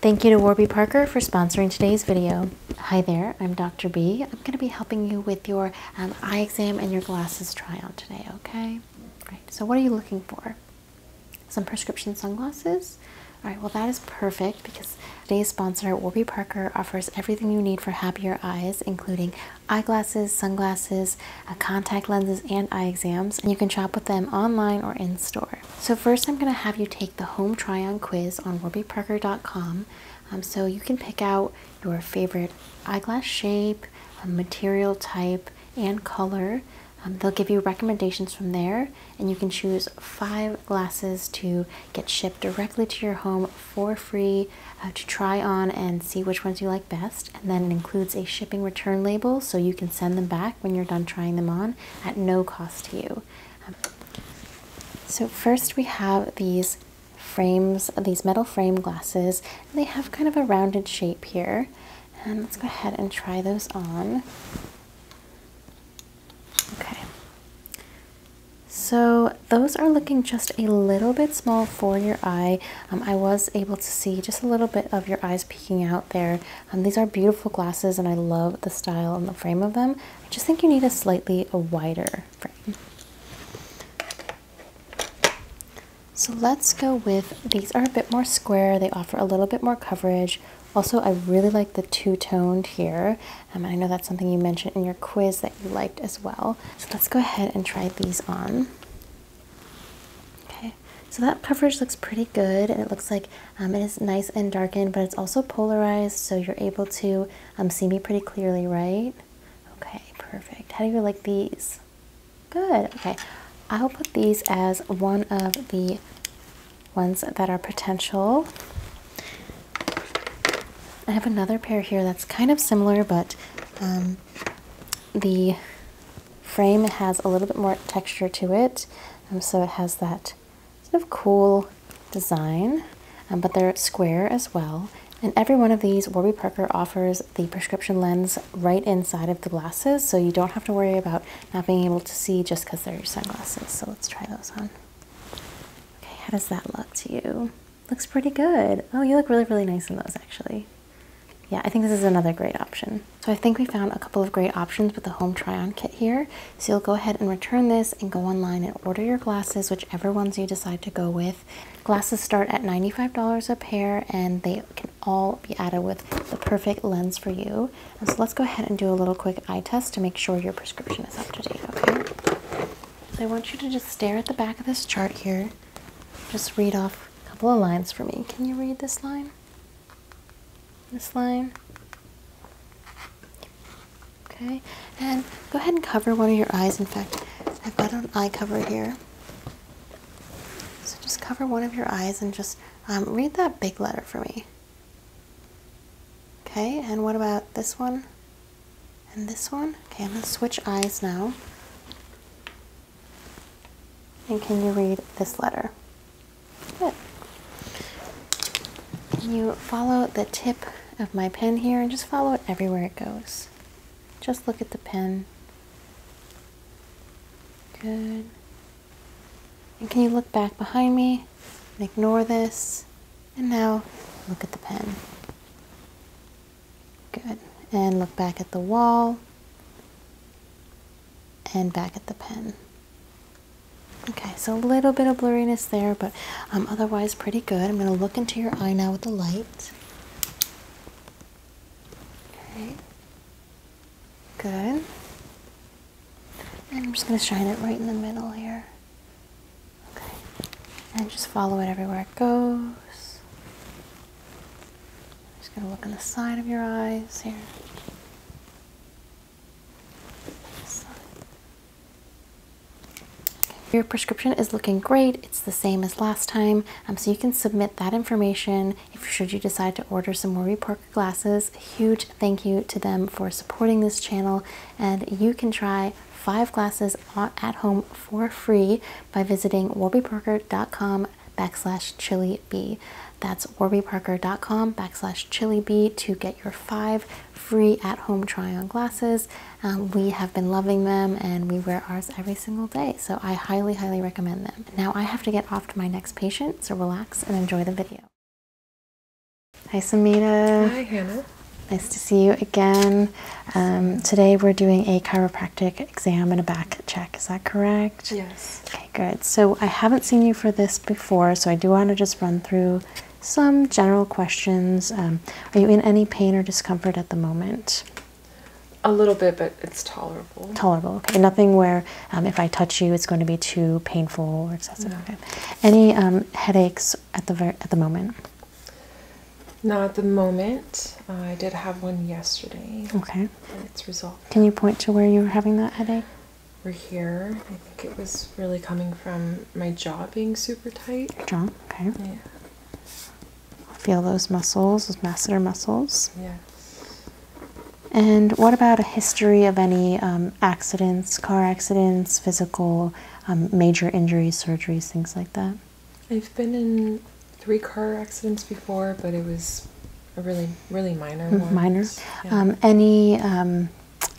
Thank you to Warby Parker for sponsoring today's video. Hi there, I'm Dr. B. I'm going to be helping you with your um, eye exam and your glasses try on today, okay? All right, so what are you looking for? Some prescription sunglasses? All right, well that is perfect because today's sponsor, Warby Parker, offers everything you need for happier eyes, including eyeglasses, sunglasses, uh, contact lenses, and eye exams, and you can shop with them online or in store. So, first, I'm going to have you take the home try on quiz on warbyparker.com. Um, so, you can pick out your favorite eyeglass shape, uh, material type, and color. Um, they'll give you recommendations from there, and you can choose five glasses to get shipped directly to your home for free uh, to try on and see which ones you like best. And then it includes a shipping return label so you can send them back when you're done trying them on at no cost to you. Um, so first we have these frames, these metal frame glasses. they have kind of a rounded shape here. And let's go ahead and try those on. Okay. So those are looking just a little bit small for your eye, um, I was able to see just a little bit of your eyes peeking out there. Um, these are beautiful glasses and I love the style and the frame of them. I just think you need a slightly a wider frame. So let's go with, these are a bit more square. They offer a little bit more coverage. Also, I really like the two-toned here. Um, I know that's something you mentioned in your quiz that you liked as well. So let's go ahead and try these on. Okay, so that coverage looks pretty good, and it looks like um, it is nice and darkened, but it's also polarized, so you're able to um, see me pretty clearly, right? Okay, perfect. How do you like these? Good, okay. I'll put these as one of the ones that are potential. I have another pair here that's kind of similar, but um, the frame has a little bit more texture to it, um, so it has that sort of cool design, um, but they're square as well. And every one of these, Warby Parker offers the prescription lens right inside of the glasses, so you don't have to worry about not being able to see just because they're sunglasses. So let's try those on. Okay, how does that look to you? Looks pretty good. Oh, you look really, really nice in those actually. Yeah, I think this is another great option. So I think we found a couple of great options with the home try-on kit here. So you'll go ahead and return this and go online and order your glasses, whichever ones you decide to go with. Glasses start at $95 a pair and they can all be added with the perfect lens for you. so let's go ahead and do a little quick eye test to make sure your prescription is up to date, okay? I want you to just stare at the back of this chart here just read off a couple of lines for me. Can you read this line? This line? Okay, and go ahead and cover one of your eyes. In fact, I've got an eye cover here. So just cover one of your eyes and just um, read that big letter for me. Okay, and what about this one? And this one? Okay, I'm going to switch eyes now. And can you read this letter? Good. Can you follow the tip of my pen here and just follow it everywhere it goes? Just look at the pen. Good. And can you look back behind me and ignore this? And now look at the pen. Good. And look back at the wall and back at the pen. Okay, so a little bit of blurriness there, but um, otherwise pretty good. I'm going to look into your eye now with the light. Okay. Good. And I'm just going to shine it right in the middle here. Okay. And just follow it everywhere it goes just going to look on the side of your eyes here. Your prescription is looking great. It's the same as last time. Um, so you can submit that information if should you decide to order some more Parker glasses. Huge thank you to them for supporting this channel. And you can try five glasses at home for free by visiting warbyparker.com backslash chilibee. That's warbyparker.com backslash chilibee to get your five free at-home try-on glasses. Um, we have been loving them and we wear ours every single day, so I highly, highly recommend them. Now I have to get off to my next patient, so relax and enjoy the video. Hi Samita. Hi Hannah. Nice to see you again. Um, today we're doing a chiropractic exam and a back check. Is that correct? Yes. Okay, good. So I haven't seen you for this before, so I do want to just run through some general questions. Um, are you in any pain or discomfort at the moment? A little bit, but it's tolerable. Tolerable, okay. Nothing where um, if I touch you, it's going to be too painful or excessive. Okay. Any um, headaches at the at the moment? Not at the moment. Uh, I did have one yesterday. Okay. And it's resolved. Can you point to where you were having that headache? We're here. I think it was really coming from my jaw being super tight. Your jaw, okay. Yeah. Feel those muscles, those masseter muscles. Yes. And what about a history of any um, accidents, car accidents, physical, um, major injuries, surgeries, things like that? I've been in three car accidents before, but it was a really, really minor mm, one. Minor. Um, any um,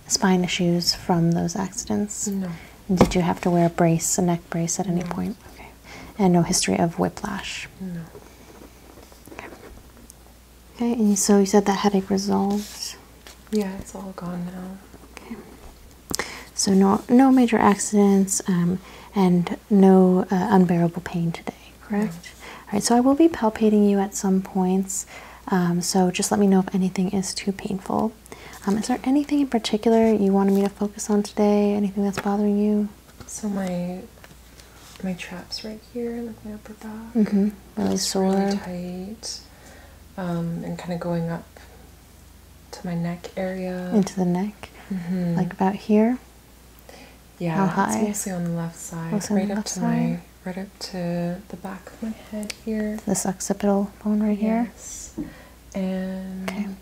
spine issues from those accidents? No. Did you have to wear a brace, a neck brace at any point? And no history of whiplash? No. Okay. Okay, and so you said that headache resolved? Yeah, it's all gone now. Okay. So no, no major accidents um, and no uh, unbearable pain today, correct? All right, so I will be palpating you at some points. Um, so just let me know if anything is too painful. Um, is there anything in particular you wanted me to focus on today? Anything that's bothering you? So my my traps right here, like my upper back, mm-hmm. really sore, really tight, and kind of going up to my neck area. Into the neck, mm-hmm. like about here. Yeah, mostly on the left side, right up to my, right up to the back of my head here. this occipital bone right yes. here. and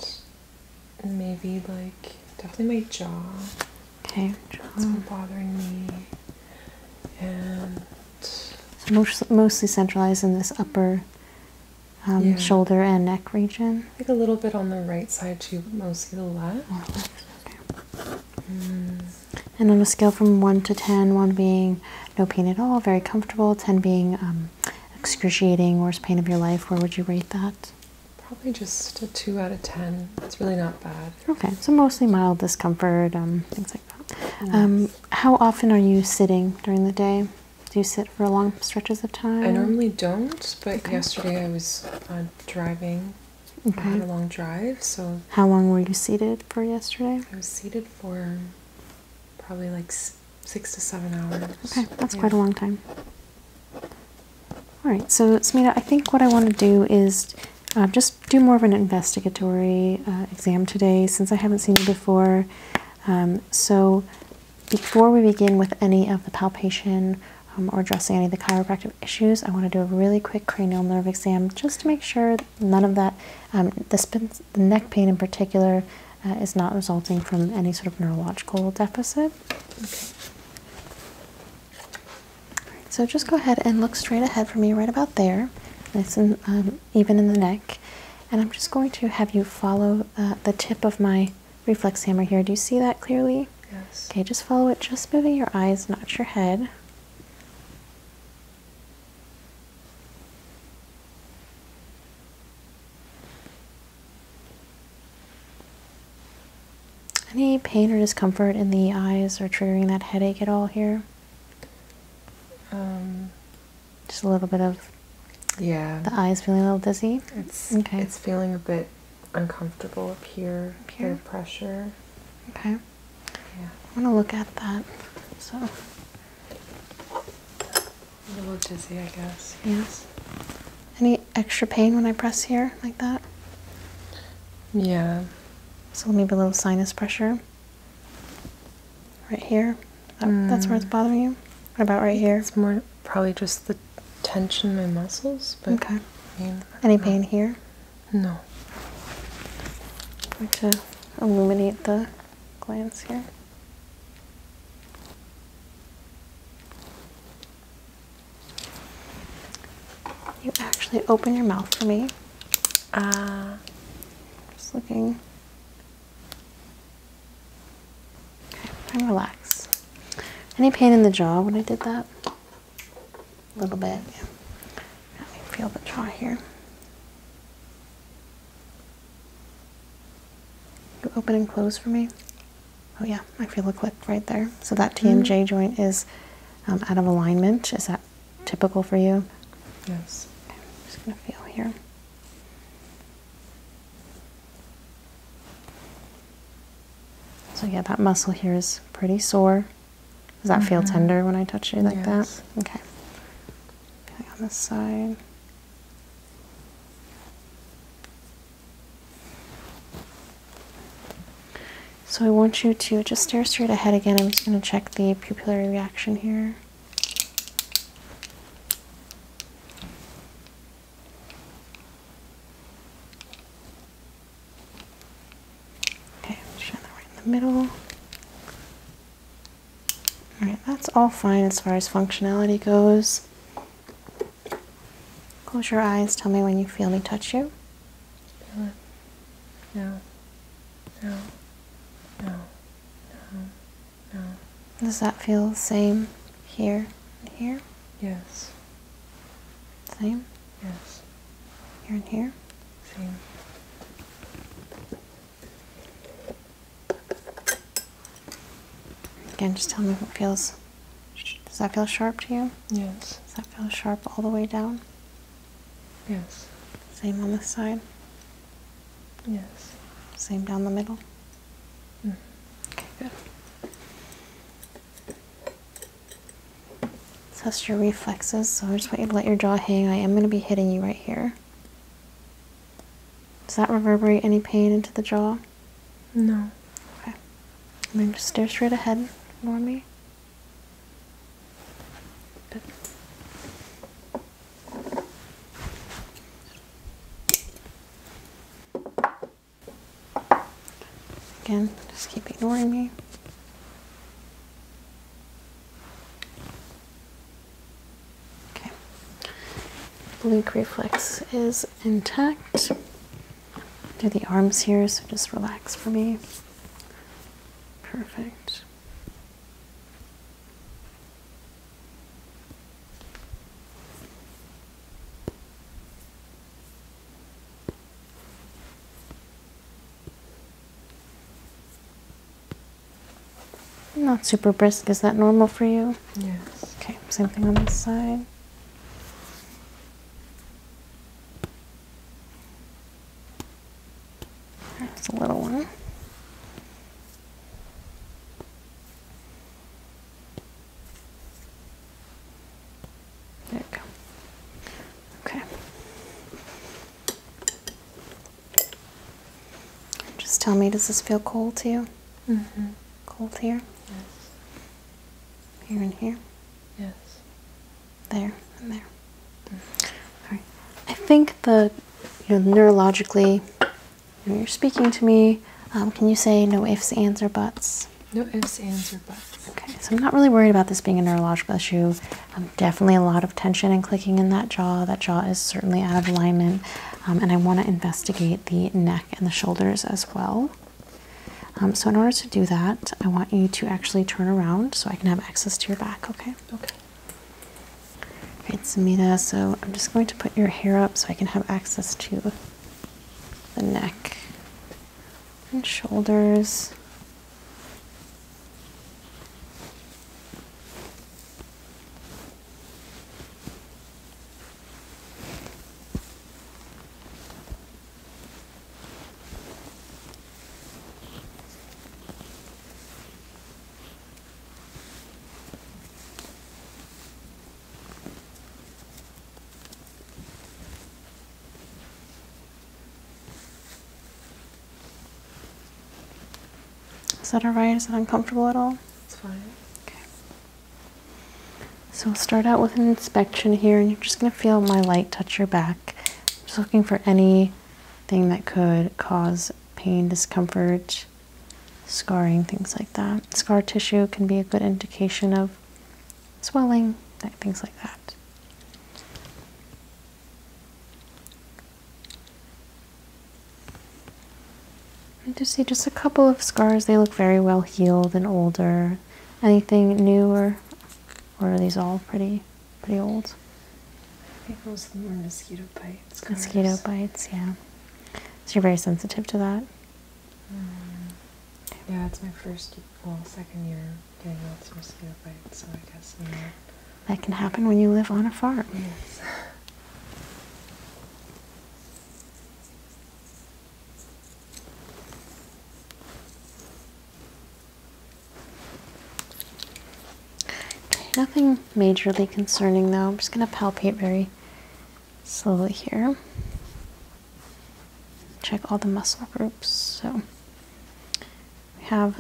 maybe like definitely my jaw. Okay, jaw. That's been bothering me, and. So mostly centralized in this upper um, shoulder and neck region. like a little bit on the right side too, but mostly the left. Oh, mm. And on a scale from 1 to 10, 1 being no pain at all, very comfortable, 10 being um, excruciating, worst pain of your life, where would you rate that? Probably just a 2 out of 10. It's really not bad. Okay, so mostly mild discomfort, um, things like that. how often are you sitting during the day? Do you sit for long stretches of time? I normally don't, but yesterday I was uh, driving. Okay. I had a long drive, so. How long were you seated for yesterday? I was seated for probably like six to seven hours. Okay, that's quite a long time. All right, so Smita, I think what I want to do is uh, just do more of an investigatory uh, exam today since I haven't seen you before. Um, so before we begin with any of the palpation um, or addressing any of the chiropractic issues, I want to do a really quick cranial nerve exam just to make sure none of that, um, the, neck pain in particular, uh, is not resulting from any sort of neurological deficit. so just go ahead and look straight ahead for me right about there, nice and um, even in the neck. And I'm just going to have you follow uh, the tip of my reflex hammer here. Do you see that clearly? Yes. Okay, just follow it, just moving your eyes, not your head. Any pain or discomfort in the eyes or triggering that headache at all here? Um, just a little bit of yeah. The eye's feeling a little dizzy. It's okay. It's feeling a bit uncomfortable up here. Up here. pressure. Okay. Yeah. I want to look at that. So. A little dizzy, I guess. Yes. Any extra pain when I press here like that? Yeah. So maybe a little sinus pressure. Right here. That's where hmm. it's bothering you. What about right here? It's more probably just the tension in my muscles. But Any pain here? No. I'm going to illuminate the glands here. You actually open your mouth for me. Uh, just looking and relax. Any pain in the jaw when I did that? A little bit, Let me feel the jaw here. You open and close for me? Oh yeah, I feel a click right there. So that mm-hmm. TMJ joint is um, out of alignment. Is that typical for you? Yes. I'm just gonna feel here. So yeah, that muscle here is pretty sore. Does that feel mm-hmm. tender when I touch you like that? Okay. on this side. So I want you to just stare straight ahead again. I'm just going to check the pupillary reaction here. Okay, shine that right in the middle. Alright, that's all fine as far as functionality goes. Close your eyes, tell me when you feel me touch you. No. No. No. No. No. Does that feel the same here here? Yes. Same? Yes. Here and here? Same. Again, just tell me if it feels... Does that feel sharp to you? Yes. Does that feel sharp all the way down? Yes. Same on this side? Yes. Same down the middle? Hmm. Test your reflexes. So I just want you to let your jaw hang. I am going to be hitting you right here. Does that reverberate any pain into the jaw? No. Okay. And then just stare straight ahead for me. Good. Again, just keep ignoring me. Okay. Blink reflex is intact. Do the arms here, so just relax for me. Perfect. Not super brisk. Is that normal for you? Yes. Okay, same thing on this side. That's a little one. There we go. Okay. Just tell me, does this feel cold to you? Mm-hmm. Cold here? Yes. Here and here? Yes. There and there. Mm-hmm. All right. I think the you know, neurologically you're speaking to me. Um, can you say no ifs, ands, or buts? No ifs, ands, or buts. Okay, so I'm not really worried about this being a neurological issue. Um, definitely a lot of tension and clicking in that jaw. That jaw is certainly out of alignment. Um, and I want to investigate the neck and the shoulders as well. so in order to do that, I want you to actually turn around so I can have access to your back, okay? Okay. All right, Samita, so I'm just going to put your hair up so I can have access to the neck and shoulders. Is that all right? Is that uncomfortable at all? It's fine. Okay. So we'll start out with an inspection here, and you're just going to feel my light touch your back. I'm just looking for anything that could cause pain, discomfort, scarring, things like that. Scar tissue can be a good indication of swelling, things like that. I just see just a couple of scars. They look very well healed and older. Anything newer, or, are these all pretty, pretty old? I mosquito bites. Mosquito bites, yeah. So you're very sensitive to that. Um, yeah, it's my first, well, second year doing lots of mosquito bites, so I guess That can happen when you live on a farm. nothing majorly concerning though. I'm just going to palpate very slowly here. Check all the muscle groups. So we have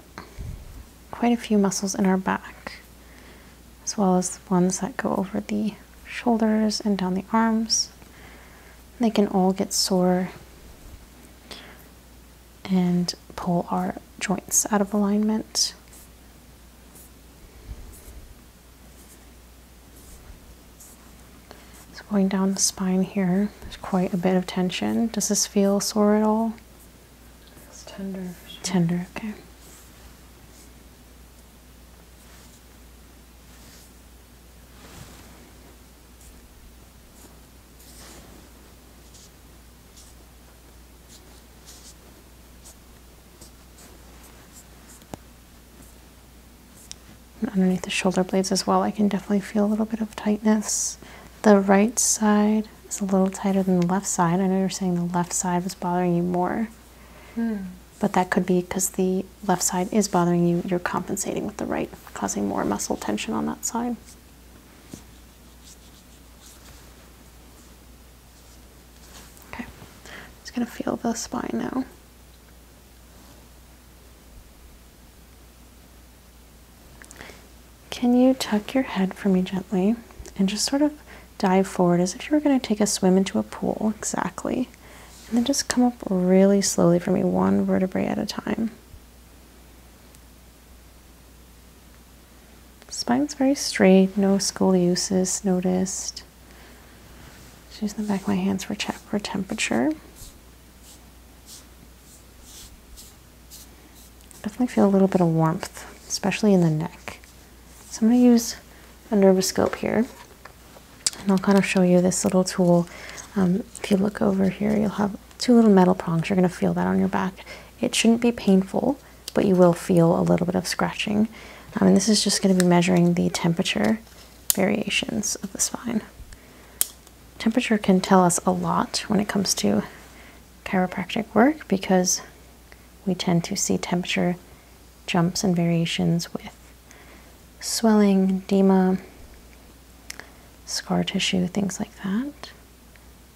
quite a few muscles in our back, as well as ones that go over the shoulders and down the arms. They can all get sore and pull our joints out of alignment. It's going down the spine here, there's quite a bit of tension. Does this feel sore at all? It's tender. Tender, okay underneath the shoulder blades as well, I can definitely feel a little bit of tightness. The right side is a little tighter than the left side. I know you're saying the left side was bothering you more. Hmm. But that could be because the left side is bothering you, you're compensating with the right, causing more muscle tension on that side. Okay, I'm just going to feel the spine now. Can you tuck your head for me gently and just sort of dive forward as if you were going to take a swim into a pool exactly? And then just come up really slowly for me, one vertebrae at a time. Spine's very straight, no scoliosis noticed using the back of my hands for, temperature. Definitely feel a little bit of warmth, especially in the neck. So I'm going to use a nervoscope here. And I'll kind of show you this little tool. Um, if you look over here, you'll have two little metal prongs. You're going to feel that on your back. It shouldn't be painful, but you will feel a little bit of scratching. Um, and this is just going to be measuring the temperature variations of the spine. Temperature can tell us a lot when it comes to chiropractic work because we tend to see temperature jumps and variations with swelling, edema, scar tissue, things like that.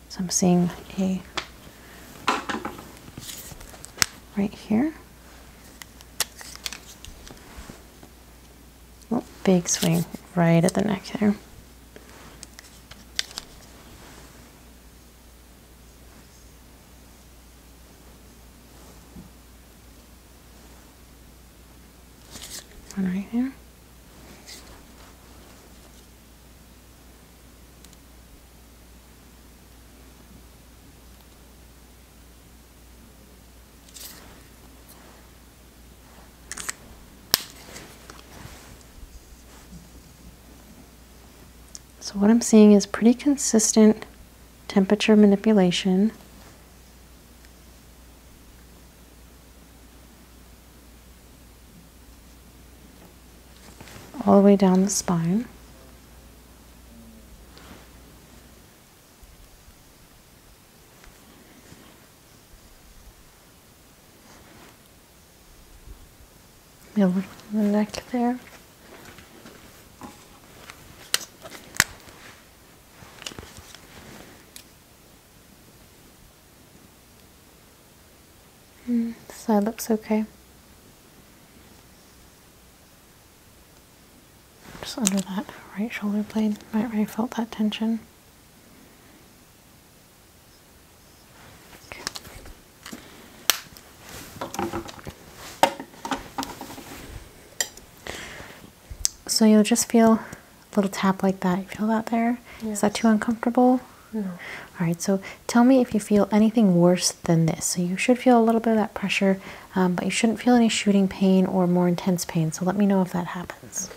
So I'm seeing a right here. Oh, big swing right at the neck there. One right here. So what I'm seeing is pretty consistent temperature manipulation. all the way down the spine. You'll the neck there. Mm, side looks okay. Just under that right shoulder blade, right where I felt that tension. So you'll just feel a little tap like that. feel that there? Is that too uncomfortable? No. All right, so tell me if you feel anything worse than this. So you should feel a little bit of that pressure, um, but you shouldn't feel any shooting pain or more intense pain. So let me know if that happens.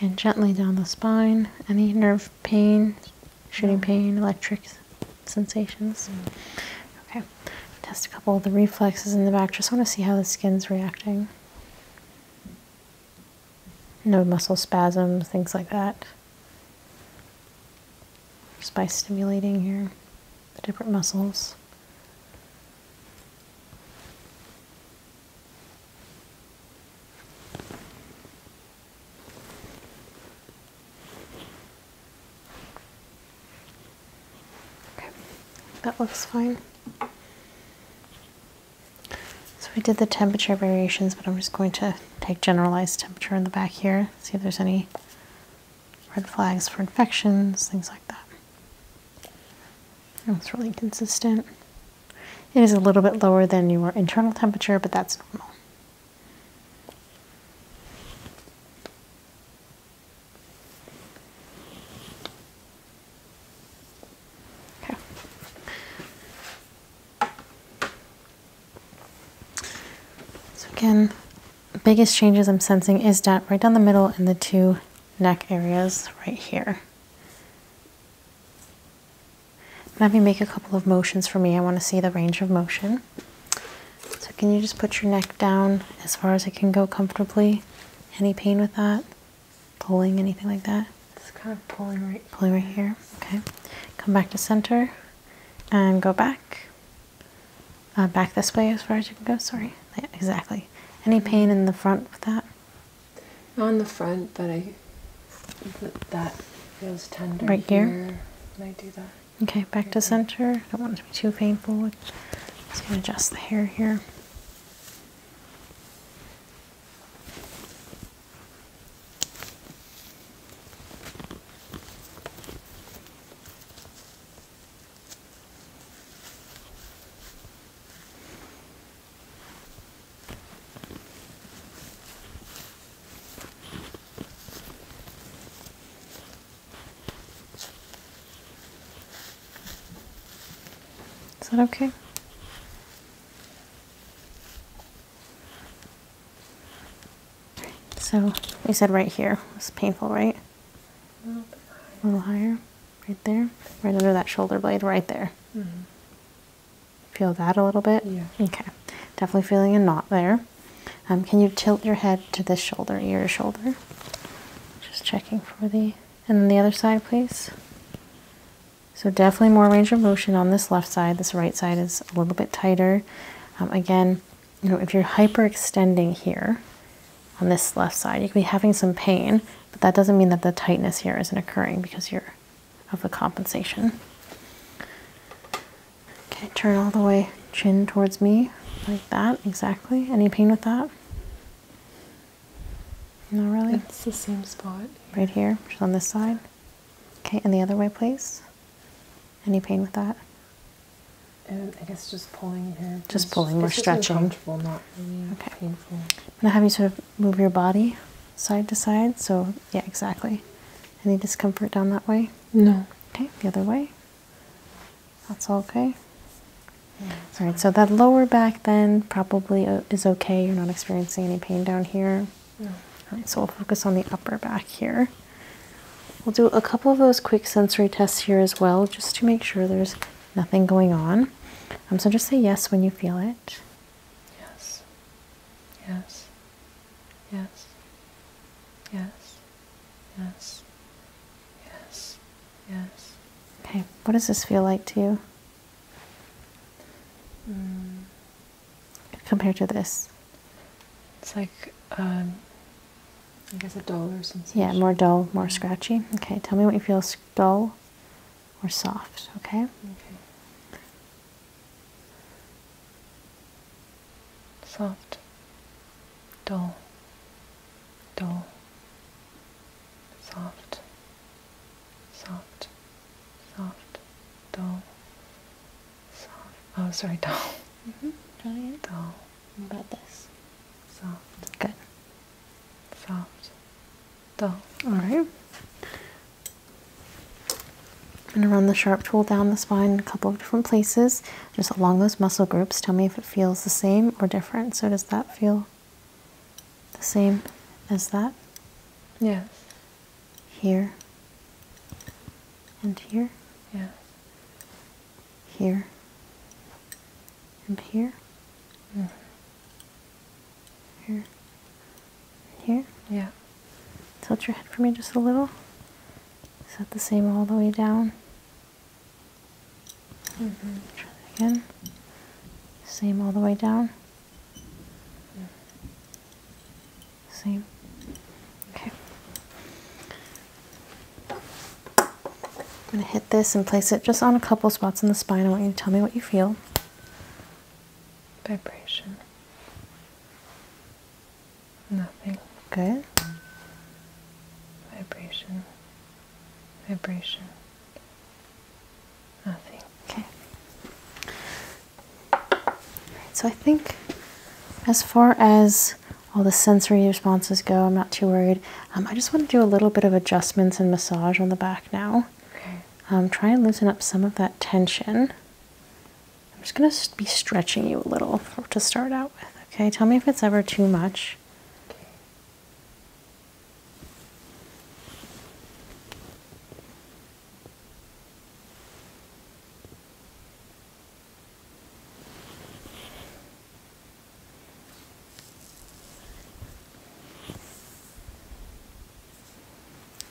And gently down the spine, any nerve pain, shooting pain, electrics sensations. Okay, test a couple of the reflexes in the back. Just want to see how the skin's reacting. No muscle spasms, things like that. Just by stimulating here the different muscles. Okay, that looks fine. So we did the temperature variations, but I'm just going to take generalized temperature in the back here, see if there's any red flags for infections, things like that. it's really consistent. It is a little bit lower than your internal temperature, but that's normal. Okay. So again, biggest changes I'm sensing is that right down the middle in the two neck areas right here. Let me make a couple of motions for me. I want to see the range of motion. So, can you just put your neck down as far as it can go comfortably? Any pain with that? Pulling, anything like that? It's kind of pulling right Pulling right here. Okay. Come back to center and go back. Uh, back this way as far as you can go. Sorry. Yeah, exactly. Any mm-hmm. pain in the front with that? On the front, but I. That feels tender. Right here. here. Can I do that? Okay, back to center. I don't want to be too painful. Just gonna adjust the hair here. Is that okay? So you said right here. It's painful, right? A little, higher. Right there. Right under that shoulder blade, right there. Mm-hmm. Feel that a little bit? Yeah. Okay. Definitely feeling a knot there. Um, can you tilt your head to this shoulder, your shoulder? Just checking for the. And then the other side, please. So definitely more range of motion on this left side. This right side is a little bit tighter. Um, again, you know, if you're hyperextending here on this left side, you could be having some pain, but that doesn't mean that the tightness here isn't occurring because you're of the compensation. Okay, turn all the way, chin towards me, like that, exactly. Any pain with that? Not really? It's the same spot. Right here, just on this side. Okay, and the other way, please. Any pain with that? And um, I guess just pulling here. Just pulling, we're stretching. Uncomfortable, not really okay. I'm going to have you sort of move your body side to side. So, yeah, exactly. Any discomfort down that way? No. Okay, the other way. That's okay. All right, so that lower back then probably uh, is okay. You're not experiencing any pain down here. All right, so we'll focus on the upper back here. We'll do a couple of those quick sensory tests here as well, just to make sure there's nothing going on. Um, so just say yes when you feel it. Yes. Yes. Yes. Yes. Yes. Yes. Yes. Okay. What does this feel like to you? Mm. Compared to this. It's like, um, I guess a duller sensation. Yeah, more dull, more mm-hmm. scratchy. Okay, tell me what you feel dull or soft, Okay soft, dull, dull, soft, soft, soft, dull, soft. Oh, sorry, dull. Mm-hmm. Dull. What about this? Soft. Good. Soft. Dull. All right. I'm going to run the sharp tool down the spine a couple of different places just along those muscle groups. Tell me if it feels the same or different. So, does that feel the same as that? Yes. Here and here? Yes. Here and here? Mm-hmm. Here and here? Yeah. Tilt your head for me just a little. Is that the same all the way down? Mm-hmm. again. Same all the way down. Same. Okay. I'm going to hit this and place it just on a couple spots in the spine. I want you to tell me what you feel. Vibration. Nothing. Okay. Vibration. Vibration. Nothing. Okay. Right, so I think as far as all the sensory responses go, I'm not too worried. Um, I just want to do a little bit of adjustments and massage on the back now. Okay. Um, try and loosen up some of that tension. I'm just going to be stretching you a little to start out with. Okay, tell me if it's ever too much.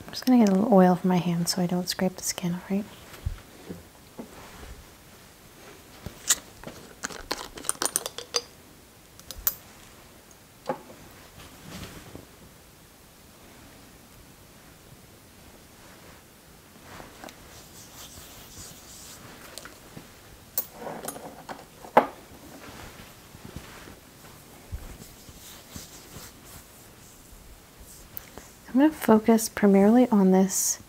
I'm just going to get a little oil for my hand so I don't scrape the skin, alright? I'm going to focus primarily on this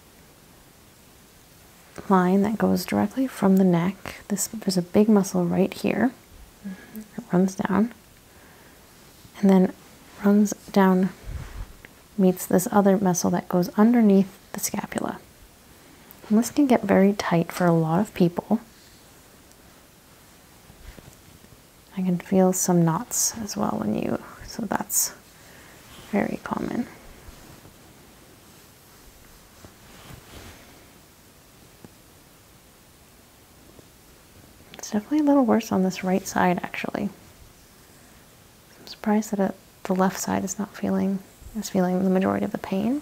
line that goes directly from the neck. This there's a big muscle right here. Mm-hmm. It runs down and then runs down meets this other muscle that goes underneath the scapula. this can get very tight for a lot of people. I can feel some knots as well when you so that's very common. It's definitely a little worse on this right side, actually. I'm surprised that uh, the left side is not feeling is feeling the majority of the pain.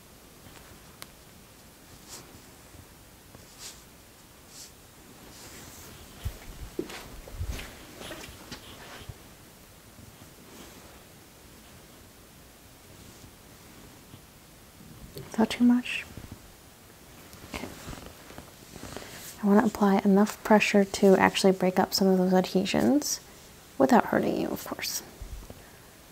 Is that too much? I want to apply enough pressure to actually break up some of those adhesions without hurting you, of course.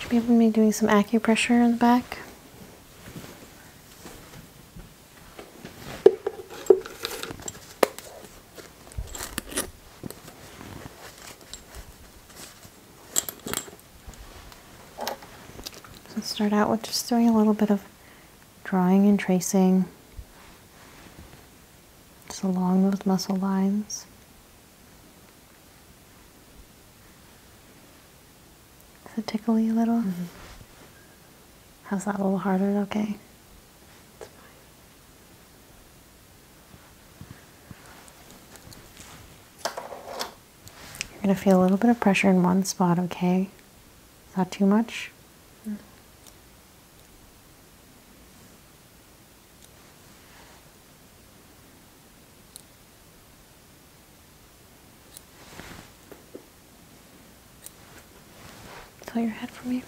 Should be able to be doing some acupressure in the back. So start out with just doing a little bit of drawing and tracing just along those muscle lines. Is it tickly a little? Mm-hmm. How's that a little harder? Okay. You're going to feel a little bit of pressure in one spot, okay? Is that too much? Mm. Pull your head for me.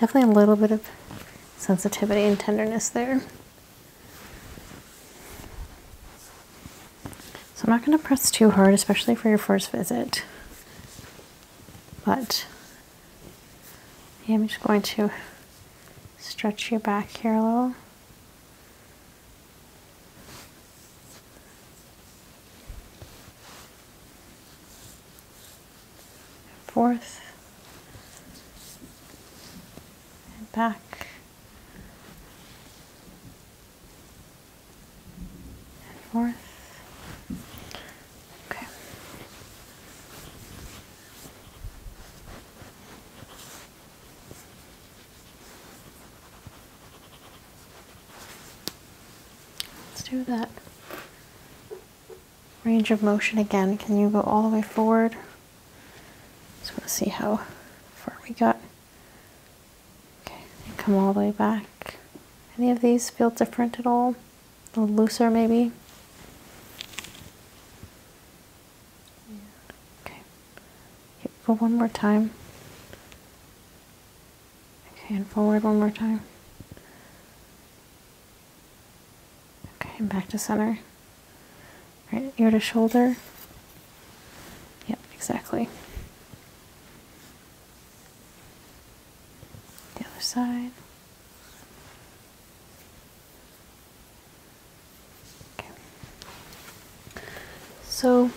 Definitely a little bit of sensitivity and tenderness there. So I'm not going to press too hard, especially for your first visit. But I'm just going to stretch your back here a little and forth and back and forth. Okay. Let's do that range of motion again. Can you go all the way forward? Just want to see how far we got. Okay, come all the way back. Any of these feel different at all? A little looser maybe? Okay, go one more time. Okay, and forward one more time. Okay, back to center. Right, ear to shoulder. Yep, exactly. The other side. Okay. So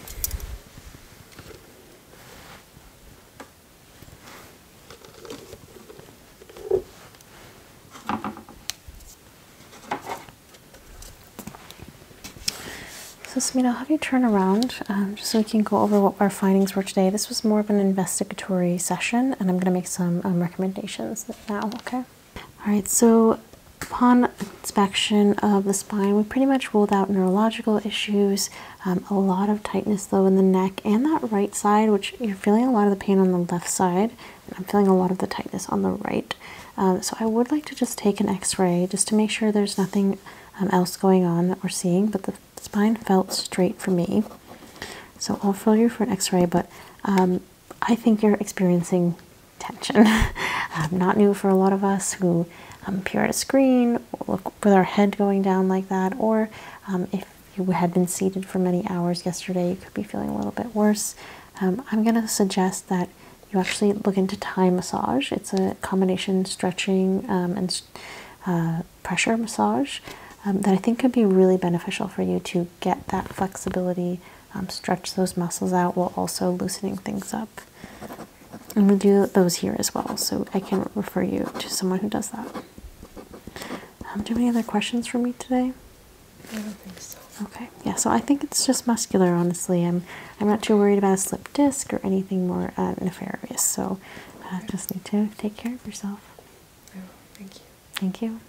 so, Smita, i have you turn around um, just so we can go over what our findings were today. This was more of an investigatory session, and I'm going to make some um, recommendations now, okay? All right, so upon inspection of the spine, we pretty much ruled out neurological issues, um, a lot of tightness, though, in the neck and that right side, which you're feeling a lot of the pain on the left side. I'm feeling a lot of the tightness on the right. Um, so I would like to just take an x-ray just to make sure there's nothing um, else going on that we're seeing, but the spine felt straight for me. So I'll fill you for an x-ray, but um, I think you're experiencing tension. not new for a lot of us who um, peer at a screen, look with our head going down like that, or if you had been seated for many hours yesterday, you could be feeling a little bit worse. Um, I'm going to suggest that you actually look into Thai massage. It's a combination stretching um, and uh, pressure massage um, that I think could be really beneficial for you to get that flexibility, stretch those muscles out while also loosening things up. And we do those here as well, so I can refer you to someone who does that. do you have any other questions for me today? I don't think so. Okay. Yeah. So I think it's just muscular. Honestly, I'm I'm not too worried about a slip disc or anything more uh, nefarious. So uh, just need to take care of yourself. thank you. Thank you.